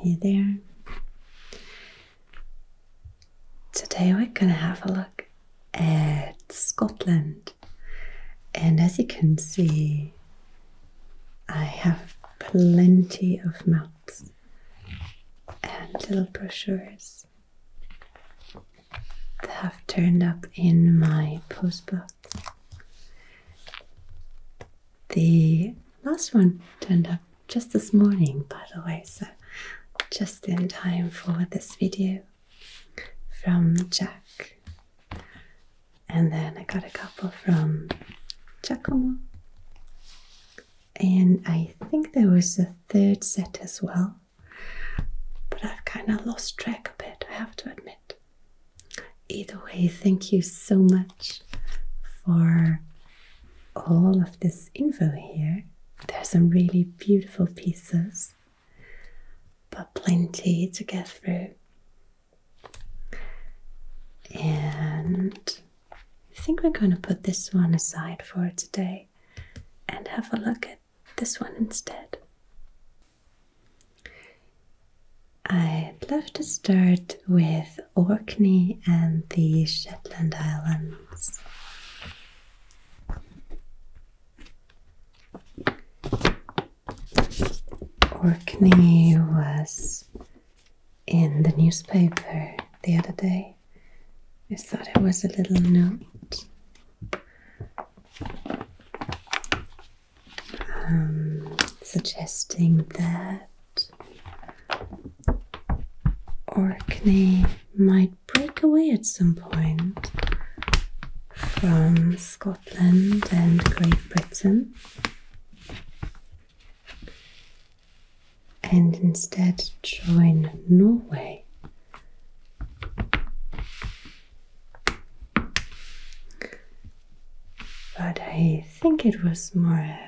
Hey there. Today we're gonna have a look at Scotland, and as you can see, I have plenty of maps and little brochures that have turned up in my postbox. The last one turned up just this morning, by the way, so just in time for this video from Jack. And then I got a couple from Jacomo, And I think there was a third set as well, but I've kind of lost track a bit, I have to admit. Either way, thank you so much for all of this info here. There's some really beautiful pieces, but plenty to get through. And I think we're going to put this one aside for today and have a look at this one instead. I'd love to start with Orkney and the Shetland Islands. Orkney was in the newspaper the other day. I thought it was a little note. Um, suggesting that Orkney might break away at some point from Scotland and Great Britain and instead join Norway but I think it was more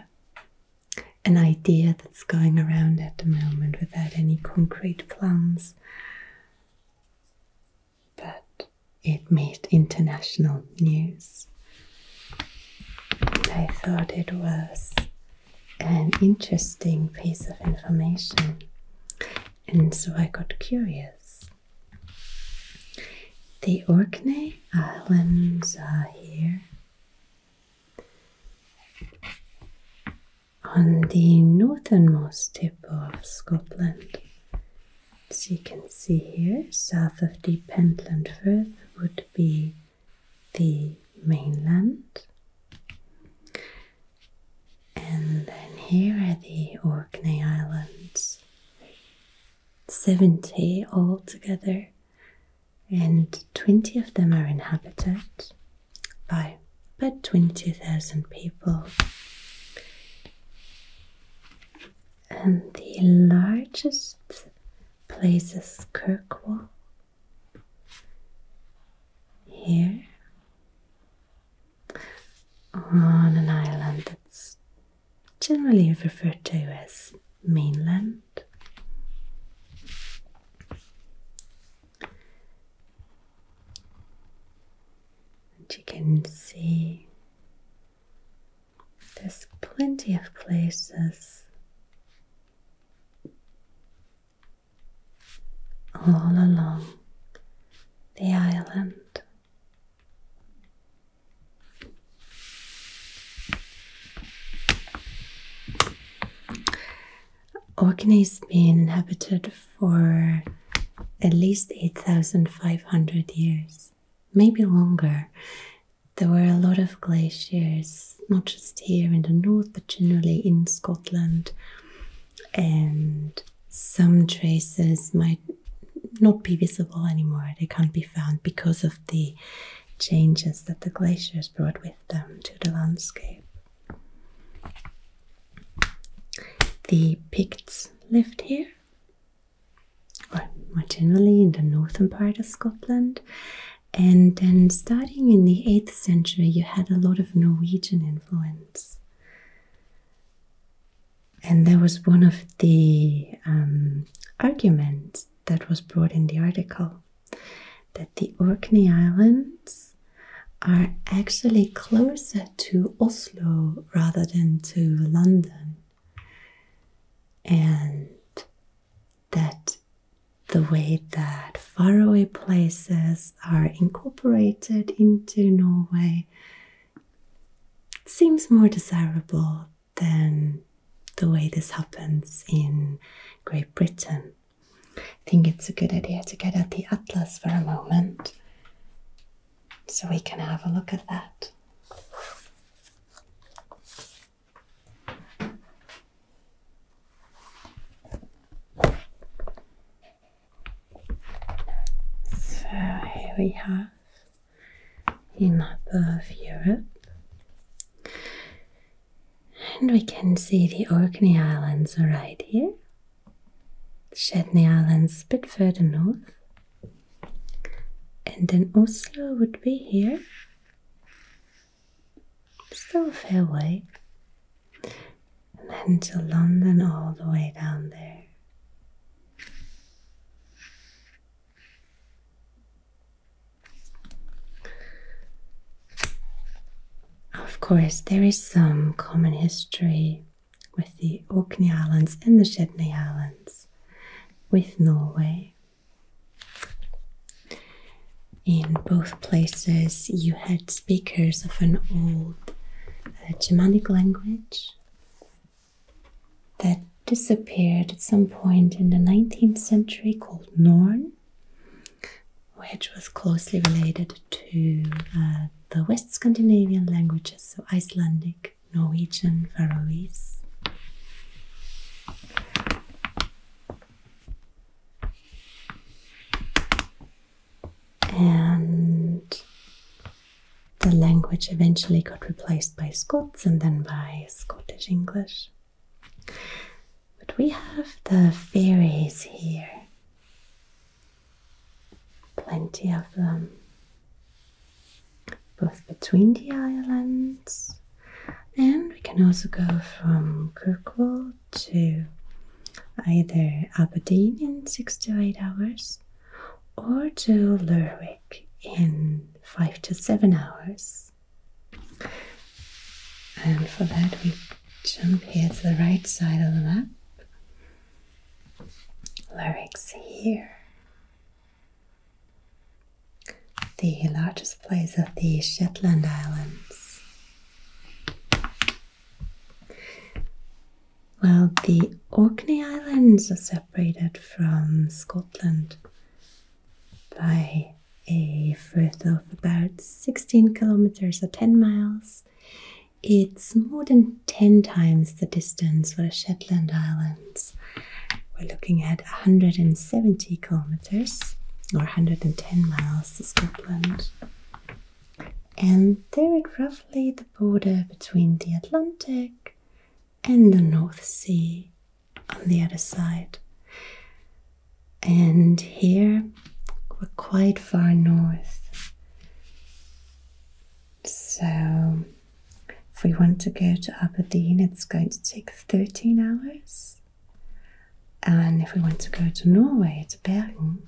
an idea that's going around at the moment without any concrete plans. But it made international news. I thought it was an interesting piece of information, and so I got curious. The Orkney islands are here. On the northernmost tip of Scotland, as you can see here, south of the Pentland Firth would be the mainland. And then here are the Orkney Islands, 70 altogether, and 20 of them are inhabited by about 20,000 people. And the largest place is Kirkwall here on an island that's generally referred to as mainland. And you can see there's plenty of places all along the island. Orkney has been inhabited for at least 8,500 years, maybe longer. There were a lot of glaciers, not just here in the north, but generally in Scotland. And some traces might not be visible anymore. They can't be found because of the changes that the glaciers brought with them to the landscape. The Picts lived here, or more generally in the northern part of Scotland. And then, starting in the 8th century, you had a lot of Norwegian influence. And that was one of the um, arguments that was brought in the article that the Orkney Islands are actually closer to Oslo rather than to London, and that the way that faraway places are incorporated into Norway seems more desirable than the way this happens in Great Britain. I think it's a good idea to get out the atlas for a moment so we can have a look at that. So here we have in of Europe. And we can see the Orkney Islands right here, the Shetland Islands a bit further north, and then Oslo would be here, still a fair way, and then to London all the way down there. Of course, there is some common history with the Orkney Islands and the Shetland Islands with Norway. In both places, you had speakers of an old uh, Germanic language that disappeared at some point in the 19th century called Norn, which was closely related to uh, the West Scandinavian languages, so Icelandic, Norwegian, Faroese. And the language eventually got replaced by Scots and then by Scottish English. But we have the fairies here, plenty of them, both between the islands, and we can also go from Kirkwall to either Aberdeen in six to eight hours or to Lerwick in five to seven hours. And for that, we jump here to the right side of the map. Lyrics here. The largest place of the Shetland Islands. Well, the Orkney Islands are separated from Scotland by a frith of about 16 kilometers or 10 miles. It's more than 10 times the distance for the Shetland Islands. We're looking at 170 kilometers or 110 miles to Scotland. And they're at roughly the border between the Atlantic and the North Sea on the other side. And here we're quite far north. So if we want to go to Aberdeen, it's going to take 13 hours. And if we want to go to Norway, to Bergen,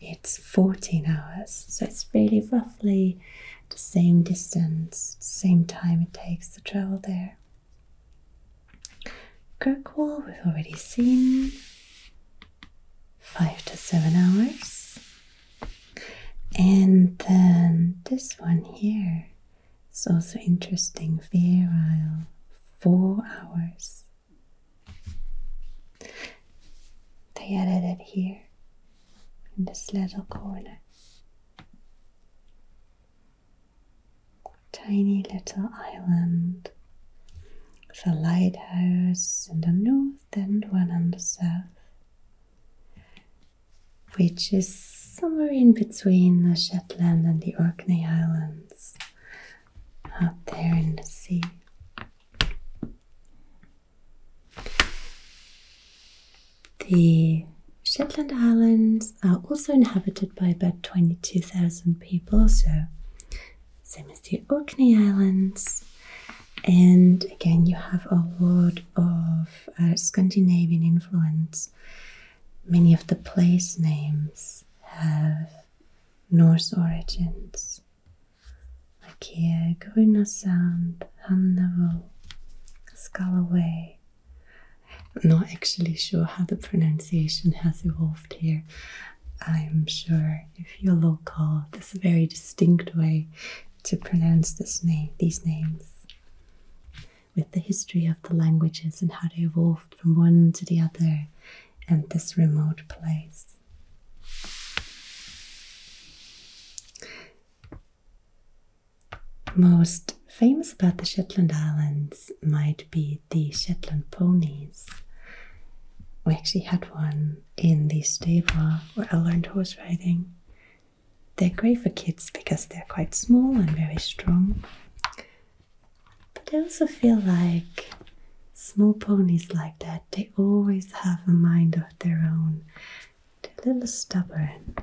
it's 14 hours. So it's really roughly the same distance, same time it takes to travel there there. Kirkwall, we've already seen. Five to seven hours. And then this one here is also interesting. Virile, four hours. They added it here in this little corner tiny little island with a lighthouse in the north and one on the south, which is somewhere in between the Shetland and the Orkney Islands, out there in the sea. The Shetland Islands are also inhabited by about 22,000 people, so same as the Orkney Islands. And again, you have a lot of uh, Scandinavian influence. Many of the place names have Norse origins, like here, Gruna Sound, Hamnavol, I'm not actually sure how the pronunciation has evolved here. I'm sure if you're local, there's a very distinct way to pronounce this name, these names. With the history of the languages and how they evolved from one to the other, and this remote place. Most famous about the Shetland Islands might be the Shetland ponies. We actually had one in the stable where I learned horse riding. They're great for kids because they're quite small and very strong. But I also feel like small ponies like that, they always have a mind of their own. They're a little stubborn.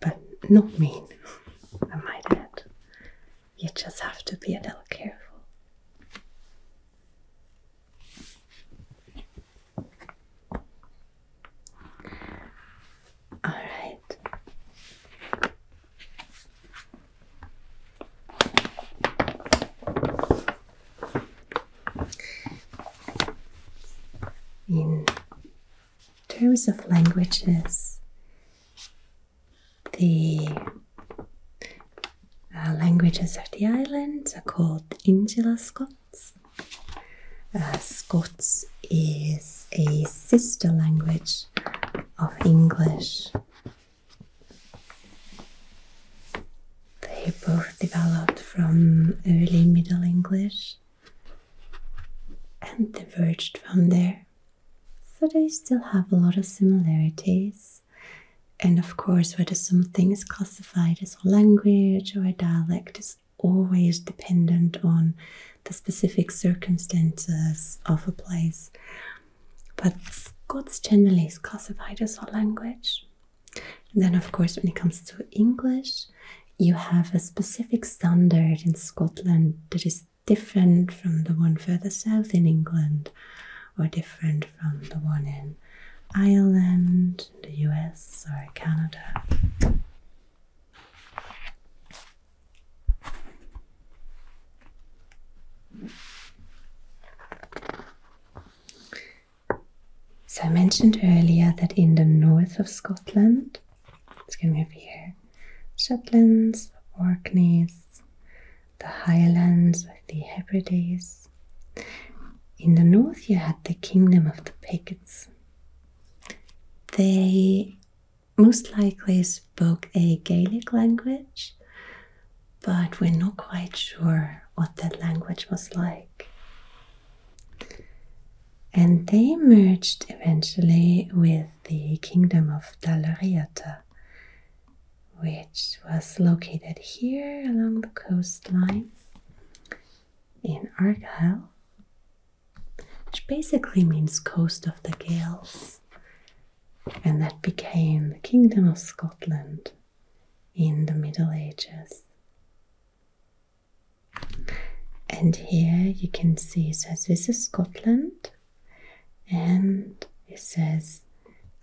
But not mean, I might You just have to be a little careful. All right. In terms of languages, the uh, languages of the islands are called Insular Scots. Uh, Scots is a sister language of English. They both developed from early Middle English and diverged from there. So they still have a lot of similarities. And of course, whether something is classified as a language or a dialect is always dependent on the specific circumstances of a place. But Scots generally is classified as a language, then, of course, when it comes to English, you have a specific standard in Scotland that is different from the one further south in England, or different from the one in Ireland, the US, or Canada. So I mentioned earlier that in the north of Scotland, it's going over here, Shetlands, Orkneys, the Highlands, the Hebrides. In the north, you had the kingdom of the Picts. They most likely spoke a Gaelic language, but we're not quite sure what that language was like. And they merged eventually with the kingdom of Dalariata, which was located here along the coastline in Argyll, which basically means coast of the Gales, and that became the kingdom of Scotland in the Middle Ages. And here you can see it says this is Scotland and it says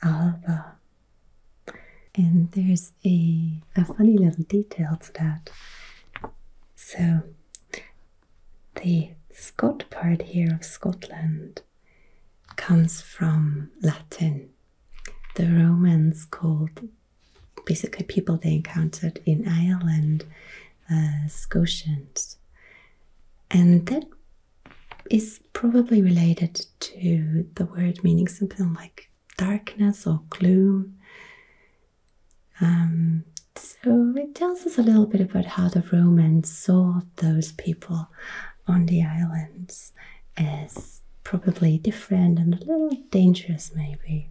Alba. And there's a, a funny little detail to that. So the "Scott" part here of Scotland comes from Latin the Romans called basically people they encountered in Ireland uh, Scotians. And that is probably related to the word meaning something like darkness or gloom. Um, so it tells us a little bit about how the Romans saw those people on the islands course as probably different and a little dangerous, maybe.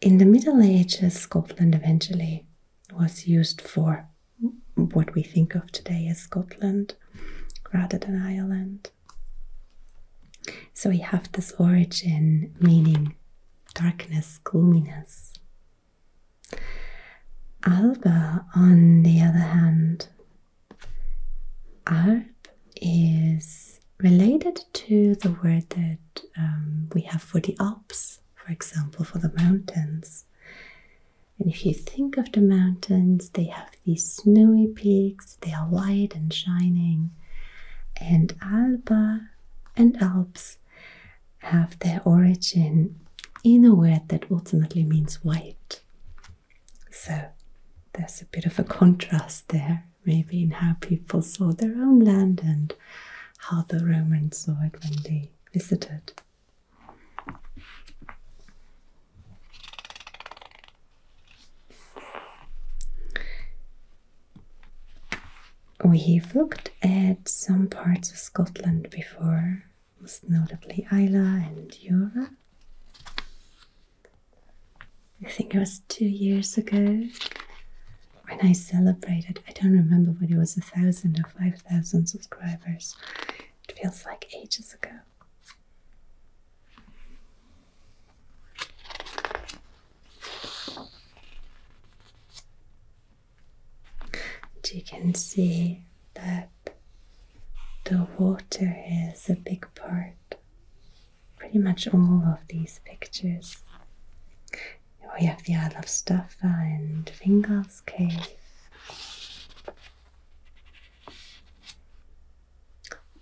In the Middle Ages, Scotland eventually was used for what we think of today as Scotland rather than Ireland. So we have this origin meaning darkness, gloominess. Alba, on the other hand, Alp is related to the word that um, we have for the Alps, for example, for the mountains. And if you think of the mountains, they have these snowy peaks, they are white and shining. And Alba and Alps have their origin in a word that ultimately means white. So there's a bit of a contrast there, maybe in how people saw their own land and how the Romans saw it when they visited. We've looked at some parts of Scotland before, most notably Isla and Yura. I think it was two years ago when I celebrated, I don't remember whether it was a thousand or five thousand subscribers. It feels like ages ago. And you can see that the water is a big part, pretty much all of these pictures. We have the Isle of Staffa and Fingal's Cave.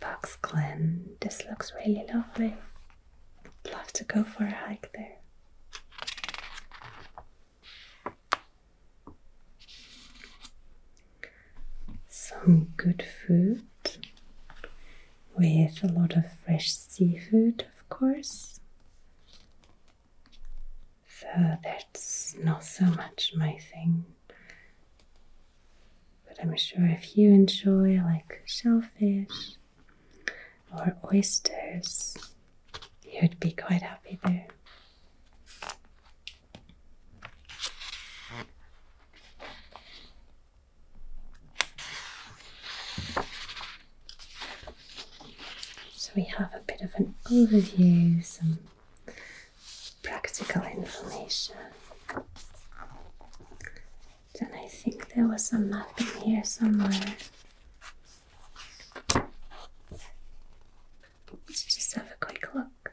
Box Glen, this looks really lovely. love to go for a hike there. Some good food with a lot of fresh seafood, of course. So that's not so much my thing. But I'm sure if you enjoy like shellfish or oysters, you'd be quite happy there. So we have a bit of an overview, some practical information. Then I think there was a map in here somewhere. Let's just have a quick look.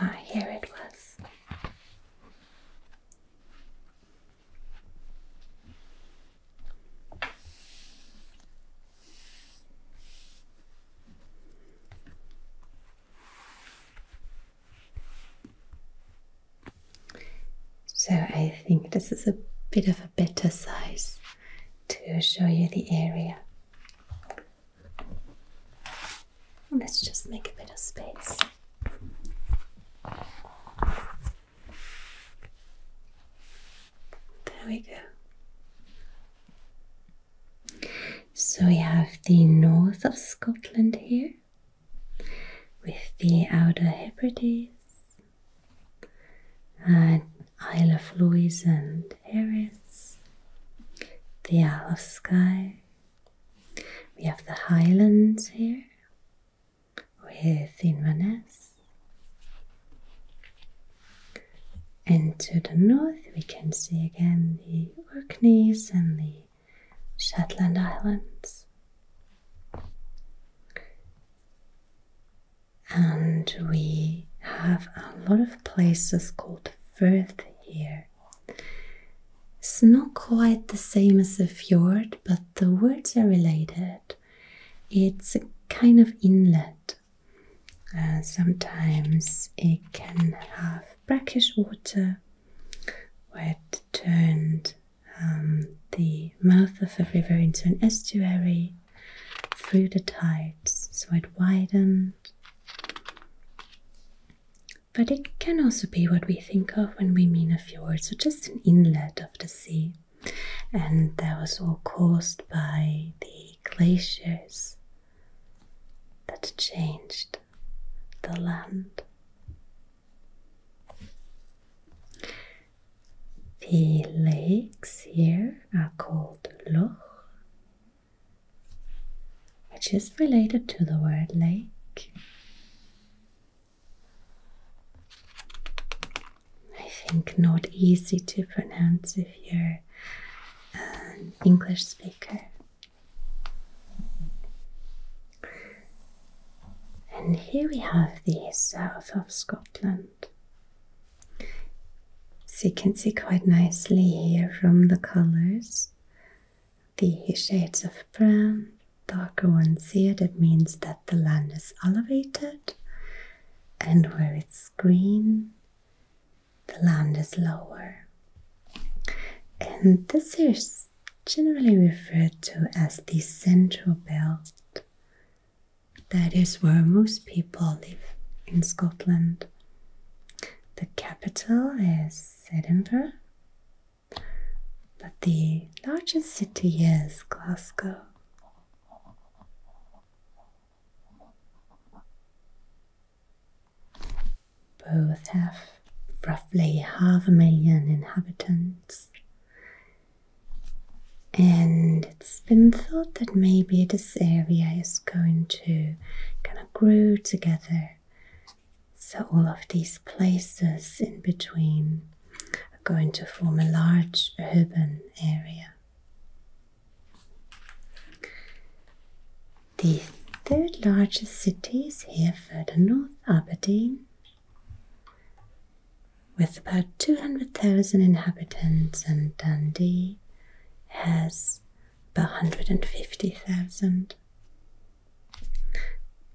Ah, here it was. So I think this is a bit of a better size to show you the area. Let's just make a bit of space. There we go. So we have the north of Scotland here with the Outer Hebrides, and Isle of Lewis and Harris, the Isle of Skye. We have the Highlands here with Inverness. And to the north, we can see again the Orkneys and the Shetland Islands. And we have a lot of places called firth here. It's not quite the same as a fjord, but the words are related. It's a kind of inlet uh, sometimes it can have brackish water where it turned um, the mouth of a river into an estuary through the tides, so it widened. But it can also be what we think of when we mean a fjord, so just an inlet of the sea. And that was all caused by the glaciers that changed the land. The lakes here are called loch, which is related to the word lake. I think not easy to pronounce if you're an English speaker. And here we have the south of Scotland. So you can see quite nicely here from the colors the shades of brown, darker ones here, that means that the land is elevated, and where it's green, the land is lower. And this is generally referred to as the central belt. That is where most people live in Scotland. The capital is Edinburgh, but the largest city is Glasgow. Both have roughly half a million inhabitants. And it's been thought that maybe this area is going to kind of grow together. So, all of these places in between are going to form a large urban area. The third largest city is here further north, Aberdeen, with about 200,000 inhabitants, and Dundee has about 150,000.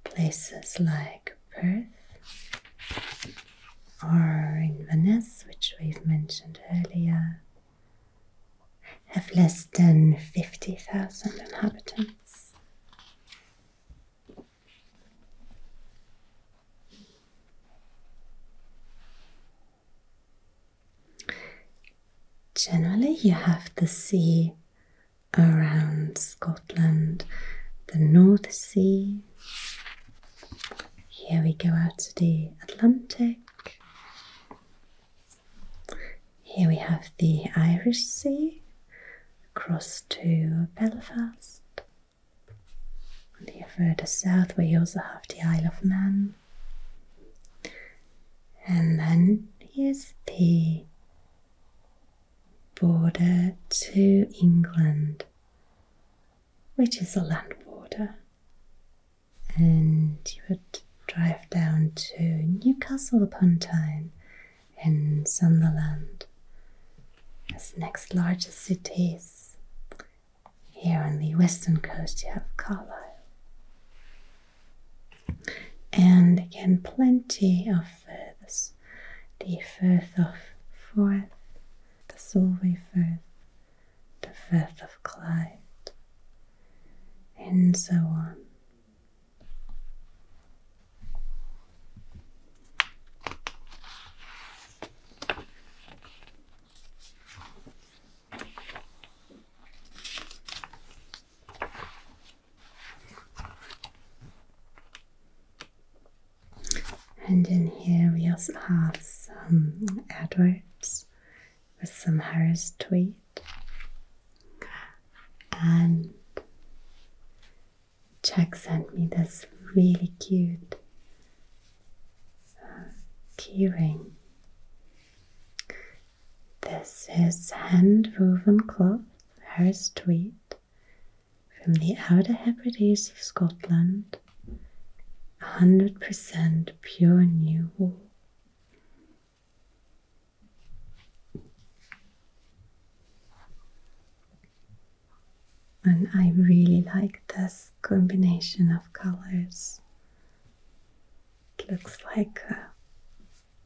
Places like Perth or Inverness, which we've mentioned earlier, have less than 50,000 inhabitants. Generally, you have the sea around Scotland, the North Sea. Here we go out to the Atlantic. Here we have the Irish Sea across to Belfast. And here further south, we also have the Isle of Man. And then here's the border to England, which is a land border and you would drive down to Newcastle upon Tyne and Sunderland, as next largest cities. Here on the western coast, you have Carlisle. And again, plenty of firths the Firth of Forth, the Solway Firth, the Firth of Clyde, and so on. And in here we also have some adverts with some Harris tweed and Jack sent me this really cute uh, keyring. This is hand woven cloth, Harris tweed, from the Outer Hebrides of Scotland, 100% pure new wool. And I really like this combination of colors. It looks like a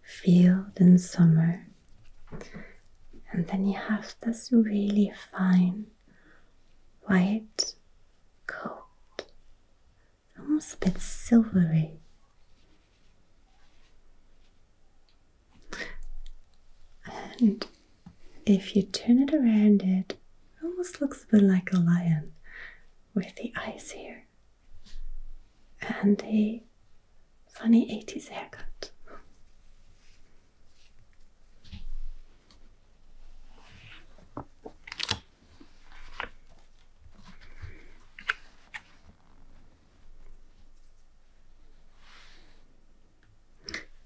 field in summer. And then you have this really fine white coat almost a bit silvery. And if you turn it around, it almost looks a bit like a lion with the eyes here and a funny 80s haircut.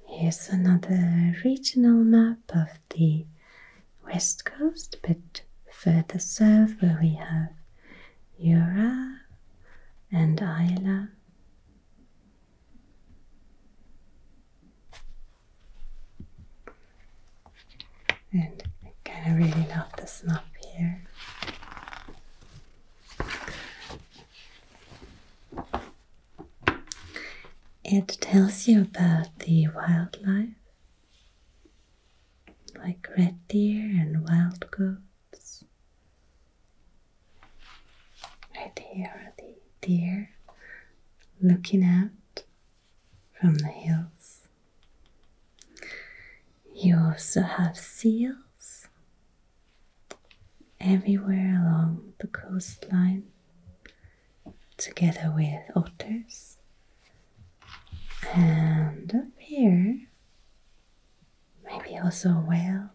Here's another regional map of the west coast, but further south where we have Yura and Isla and I kind of really love this map here. It tells you about the wildlife, like red deer and wild goats. Right here the deer looking out from the hills. You also have seals everywhere along the coastline, together with otters. And up here, maybe also a whale.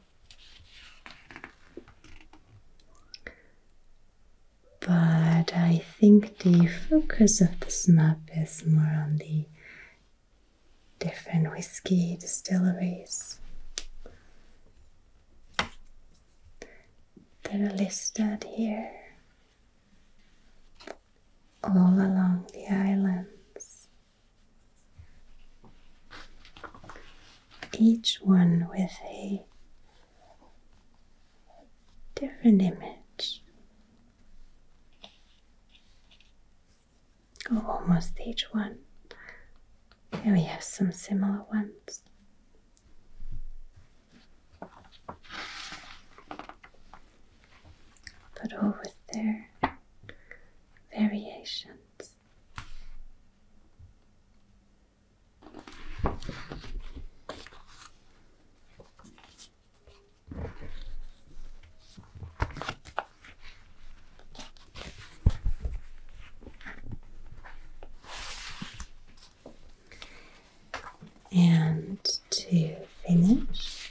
But I I think the focus of this map is more on the different whiskey distilleries that are listed here all along the islands, each one with a different image Oh, almost each one. Here we have some similar ones. But over there, variations. And to finish,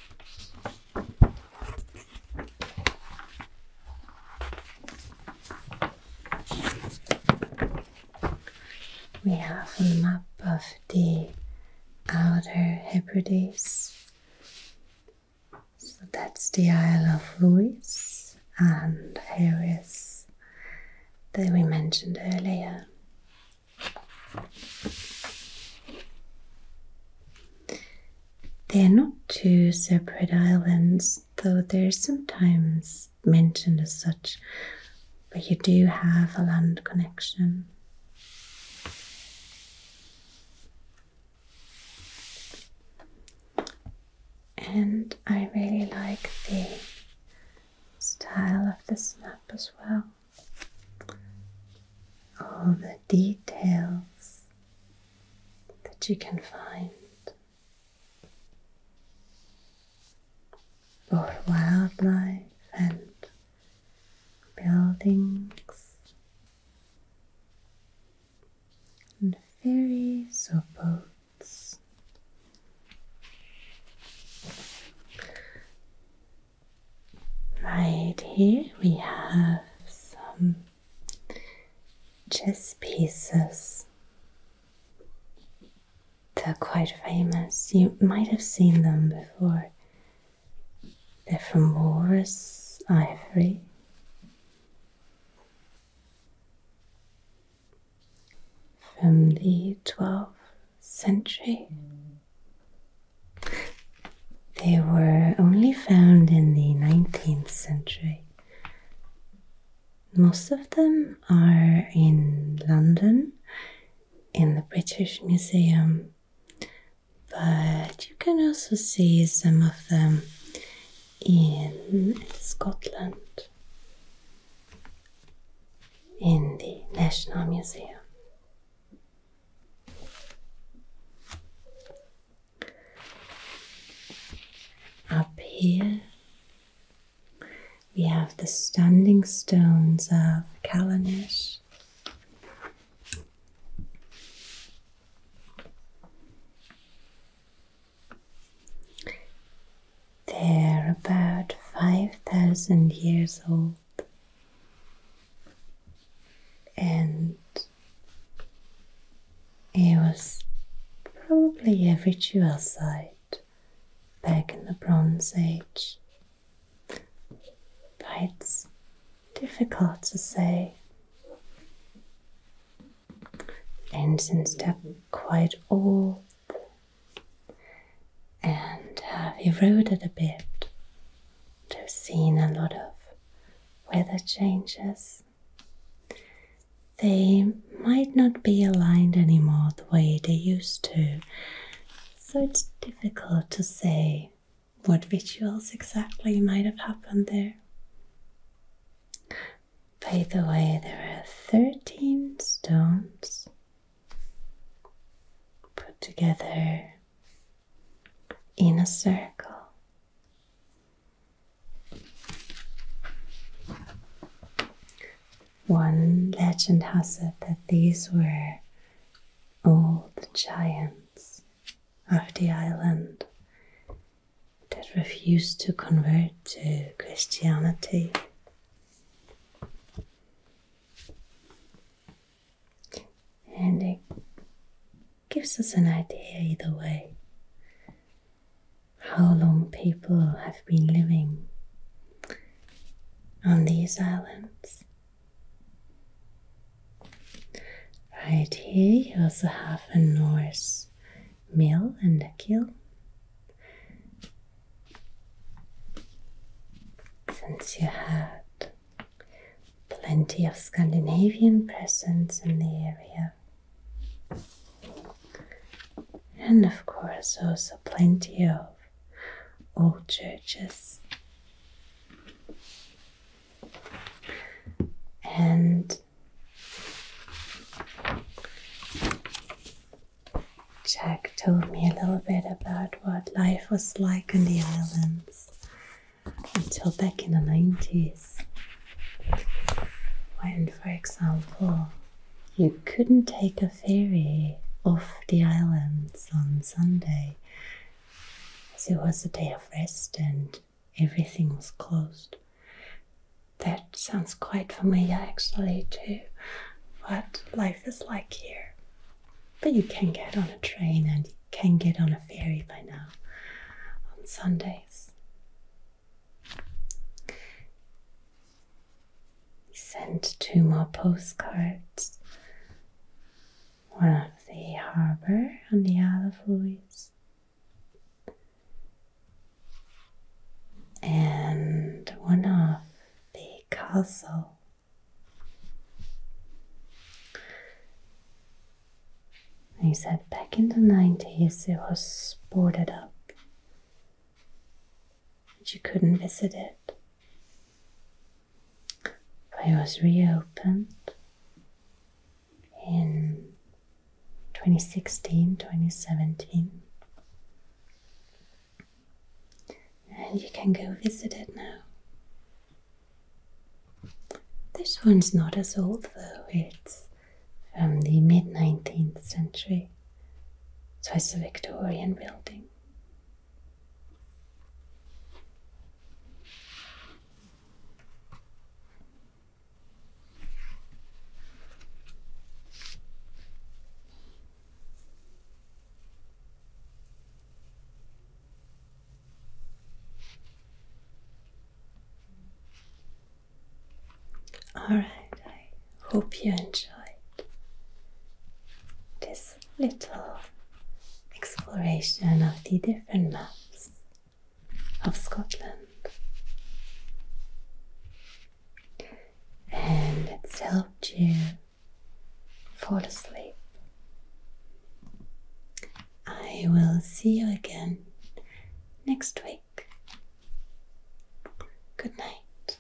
we have a map of the outer Hebrides. So that's the Isle of Lewis, and here is that we mentioned earlier. They're not two separate islands, though they're sometimes mentioned as such but you do have a land connection. And I really like the style of this map as well. All the details that you can find. Both wildlife and buildings, and ferries or boats. Right here we have some chess pieces. They're quite famous. You might have seen them before. They're from walrus ivory. From the 12th century. They were only found in the 19th century. Most of them are in London, in the British Museum but you can also see some of them in Scotland in the National Museum. Up here we have the standing stones of Callanish they're about 5,000 years old and it was probably a ritual site back in the Bronze Age but it's difficult to say. And since they're quite old and have eroded a bit, they've seen a lot of weather changes. They might not be aligned anymore the way they used to, so it's difficult to say what rituals exactly might have happened there. By the way, there are 13 stones put together in a circle. One legend has it that these were all the giants of the island that refused to convert to Christianity. And it gives us an idea, either way, how long people have been living on these islands. Right here, you also have a Norse mill and a kiln. Since you had plenty of Scandinavian presence in the area, and of course, also plenty of old churches and Jack told me a little bit about what life was like on the islands until back in the 90s. When, for example, you couldn't take a ferry off the islands on Sunday, as it was a day of rest and everything was closed. That sounds quite familiar actually to what life is like here. But you can get on a train and you can get on a ferry by now on Sundays. Send two more postcards one of the harbor on the other Louis. And one of the castle. He said back in the 90s it was boarded up, but you couldn't visit it. It was reopened in 2016 2017. And you can go visit it now. This one's not as old though, it's from the mid 19th century, so it's a Victorian building. All right, I hope you enjoyed this little exploration of the different maps of Scotland. And it's helped you fall asleep. I will see you again next week. Good night.